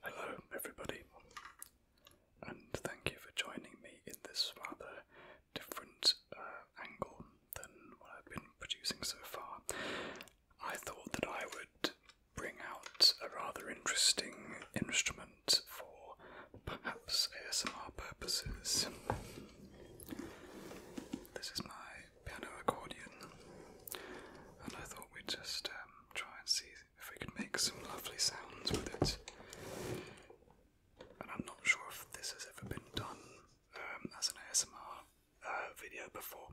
Hello, everybody, and thank you for joining me in this rather different uh, angle than what I've been producing so far, I thought that I would bring out a rather interesting instrument for perhaps ASMR purposes. This is my piano accordion, and I thought we'd just um, try and see if we could make some lovely sounds with it. And I'm not sure if this has ever been done um, as an ASMR uh, video before,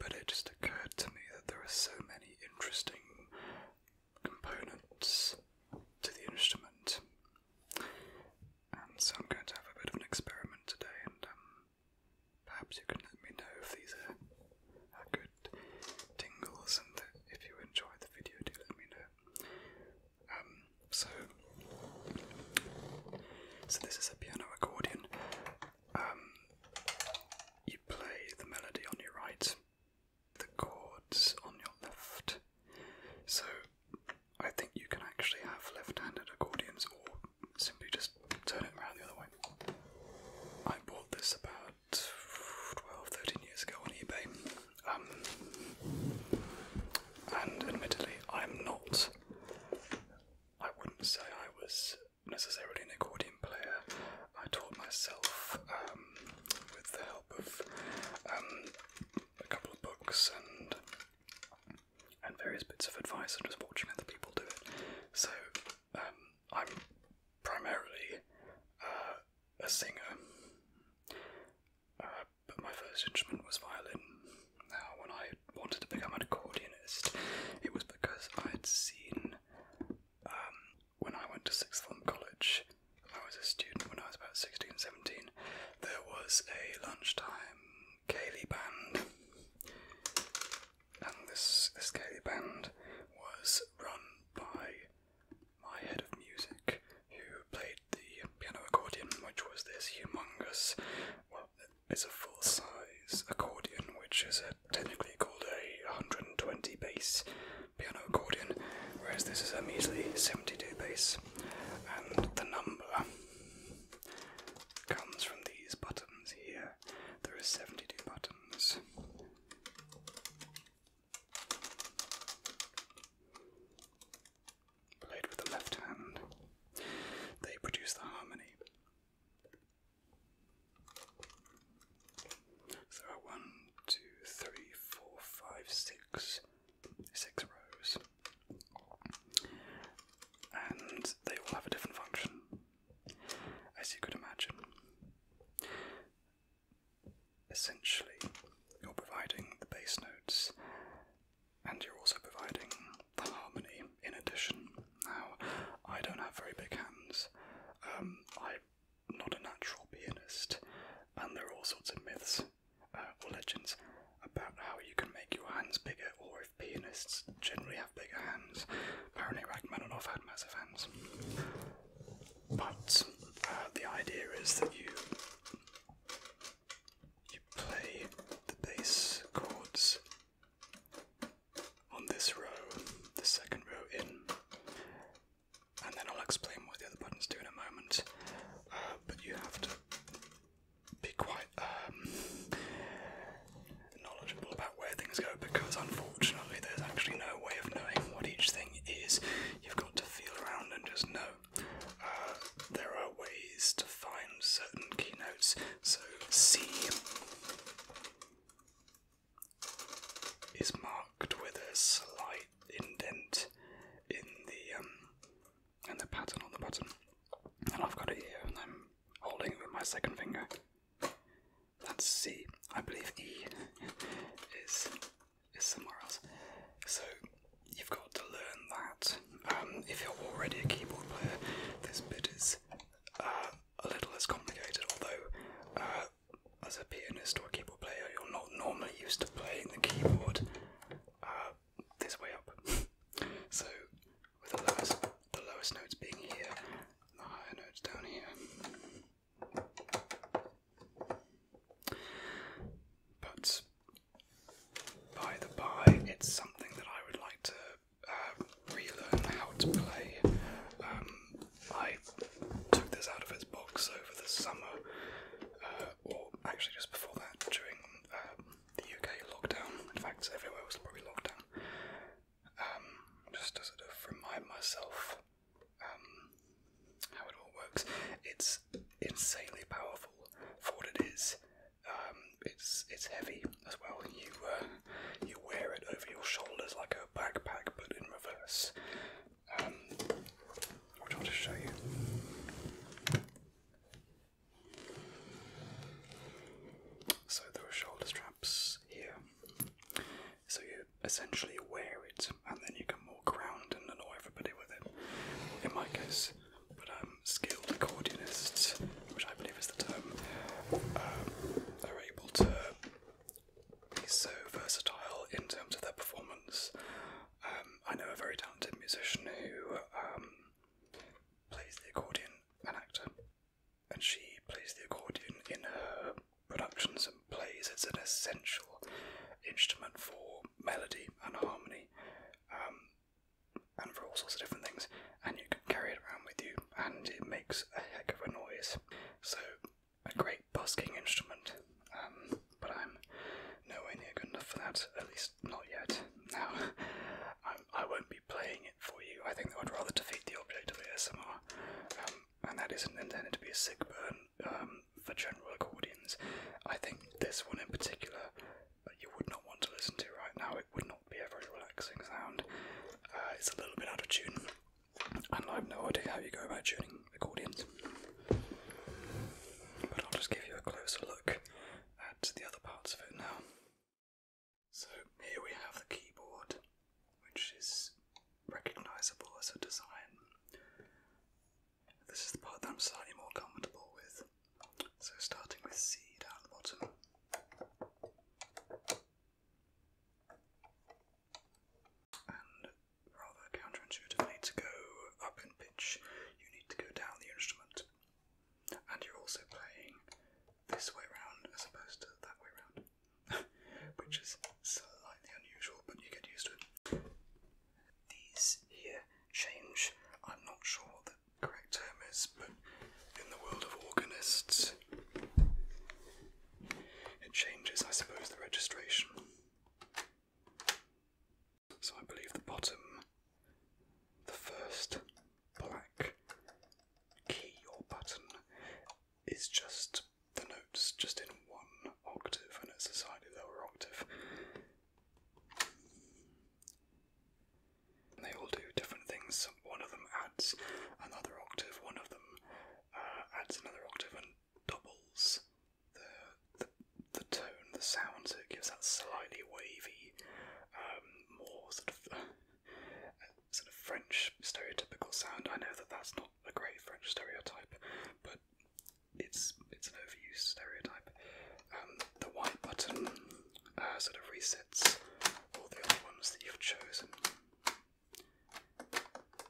but it just occurred to me that there are so many interesting components to the instrument, and so I'm going to have a bit of an experiment today, and um, perhaps you can let me know if these are, are good tingles, and if you enjoy the video, do let me know so, so this is a piano accordion. Um, you play the melody on your right, the chords on your left. So, I think you can actually have left-handed accordions, or simply just turn it around the other way. I bought this about 12, years ago on eBay. Um, and admittedly, I'm not. I wouldn't say I was necessarily an accordion player. I taught myself um, with the help of um, a couple of books and and various bits of advice and just watching other people do it. So um, I'm primarily uh, a singer. Uh, but my first instrument was violin. Now, when I wanted to become an accordionist, it was because I had seen, um, when I went to sixth form college, I was a student when I was about 16, 17, there was a lunchtime Cayley band. And this, this Cayley band was run by my head of music, who played the piano accordion, which was this humongous, well, it's a full size accordion, which is a, technically called a 120 bass piano accordion, whereas this is a measly 72 bass. And the number comes from these buttons here. There are 72 buttons played with the left hand, they produce the harmony. there are one, two, three, four, five, six, six rows, and they all have a different function, as you could imagine essentially you're providing the bass notes and you're also providing the harmony in addition. Now, I don't have very big hands. Um, I'm not a natural pianist, and there are all sorts of myths uh, or legends about how you can make your hands bigger, or if pianists generally have bigger hands. Apparently, Rachmaninoff had massive hands. But uh, the idea is that you you play the bass chords on this row, the second row in, and then I'll explain what the other buttons do in a moment. Uh, but you have to be quite um, knowledgeable about where things go because unfortunately there's actually no way of knowing what each thing is. You've got to feel around and just know. Uh, there are ways to find certain keynotes. So C is marked with a slight indent in the um, in the pattern on the button. And I've got it here and I'm holding it with my second finger. That's C. I believe E is is somewhere else. So you've got to learn that. Um, if you're already a keyboard player, this bit is uh, a little less complicated, although uh, as a pianist or a keyboard player, you're not normally used to playing the keyboard uh, this way up. so with the lowest, the lowest notes being here, the higher notes down here. But by the by, it's something that I would like to um, relearn how to play. Um, I took this out of its box over the summer, uh, or actually just before that, during um, the UK lockdown. In fact, everywhere was probably locked down. just as a reminder myself um, how it all works. It's insanely powerful for what it is. Um, it's it's heavy as well. You uh, you wear it over your shoulders like a backpack, but in reverse. Um, which I'll just show you. So there are shoulder straps here, so you essentially wear it, and then you can walk around and annoy everybody with it. In my case, but um, skilled accordionists, which I believe is the term, um, are able to be so versatile in terms of their performance. Um, I know a very talented musician who um, plays the accordion, and actor, and she plays the accordion in her productions and plays. It's an essential instrument for melody and harmony, um, and for all sorts of different things. And you can carry it around with you, and it makes a heck of a noise. So, a great busking instrument. Um, but I'm nowhere near good enough for that, at least not yet. Now, I'm, I will not be playing it for you. I think that I'd rather defeat the object of ASMR. Um, and that isn't intended to be a sick burn um, for general accordions. I think this one in particular uh, you would not want to listen to right now. It would not be a very relaxing sound. Uh, it's a little bit out of tune, and I have no idea how you go about tuning accordions. But I'll just give you a closer look at the other parts of it now. So here we have the keyboard, which is recognisable as a design. This is the part that I'm slightly more comfortable with. So starting with C down the bottom. And rather counterintuitively, to go up in pitch, you need to go down the instrument. And you're also playing this way round as opposed to that way round, which is slightly unusual, but you get used to it. These here change. I'm not sure what the correct term is, but in the world of organists, it changes, I suppose, the registration. So I believe the bottom, the first, black key or button is just the notes just in one octave and it's a slightly lower octave. And they all do different things. One of them adds another octave, one of them uh, adds another octave and doubles the, the the tone, the sound, so it gives that slightly wavy, um, more sort of sort of French stereotypical sound. I know that that's not a great French stereotype, but it's it's an overused stereotype. Um, the white button uh, sort of resets all the other ones that you've chosen,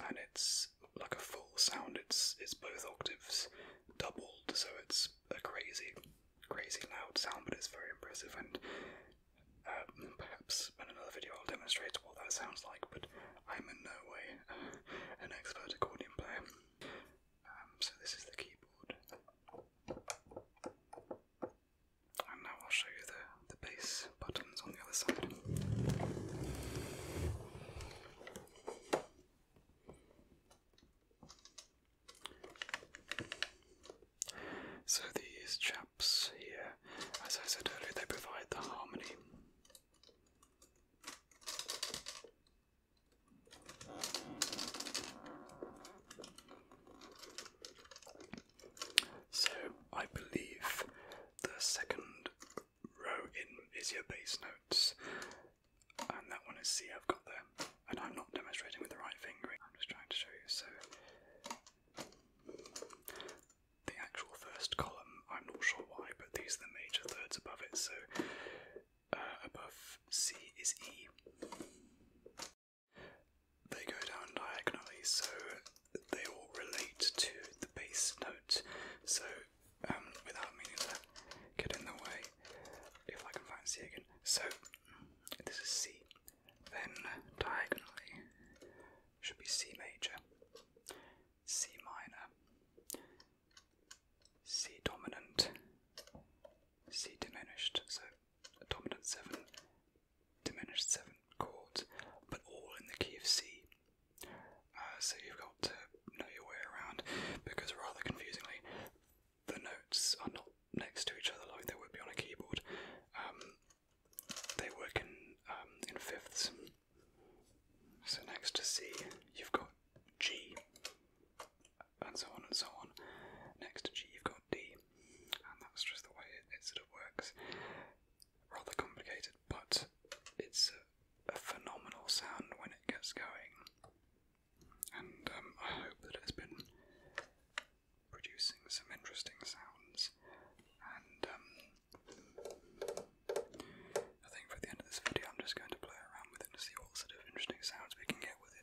and it's like a full sound. It's it's both octaves doubled, so it's a crazy crazy loud sound, but it's very impressive. And uh, perhaps in another video I'll demonstrate what that sounds like. But I'm in no way uh, an expert accordion player. Um, so this is the keyboard, and now I'll show you the the bass buttons on the other side. So these chaps here, as I said earlier, they provide the harmony. So I believe the second row in is your bass notes and that one is C I've got there. And I'm not demonstrating with the right fingering, I'm just trying to show you. So the actual first column, I'm not sure why, but these are the major thirds above it, so uh, above C is E. They go down diagonally, so they all relate to the base note. So, um, without meaning to get in the way, if I can find C again. So, this is C. Then diagonally should be C major, C minor, C dominant, C diminished, so dominant 7, diminished 7 chords, but all in the key of C. Uh, so you've got to know your way around because, rather confusingly, the notes are not next to each other like they would be on a keyboard. Um, they work in um, in fifths. So next to C, you've got G, and so on and so on. Next to G, you've got D, and that's just the way it, sort of works. Rather complicated, but it's a phenomenal sound when it gets going and um, I hope that it's been producing some interesting sounds. And um, I think for the end of this video, I'm just going to play around with it and see what sort of interesting sounds we can get with it.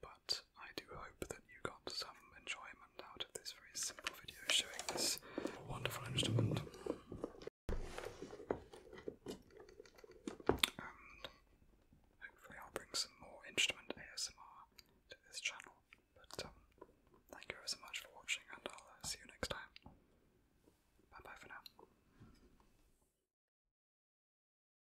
But I do hope that you got some enjoyment out of this very simple video showing this wonderful instrument. hopefully I'll bring some more instrument ASMR to this channel. But um, thank you so much for watching and I'll uh, see you next time. Bye bye for now.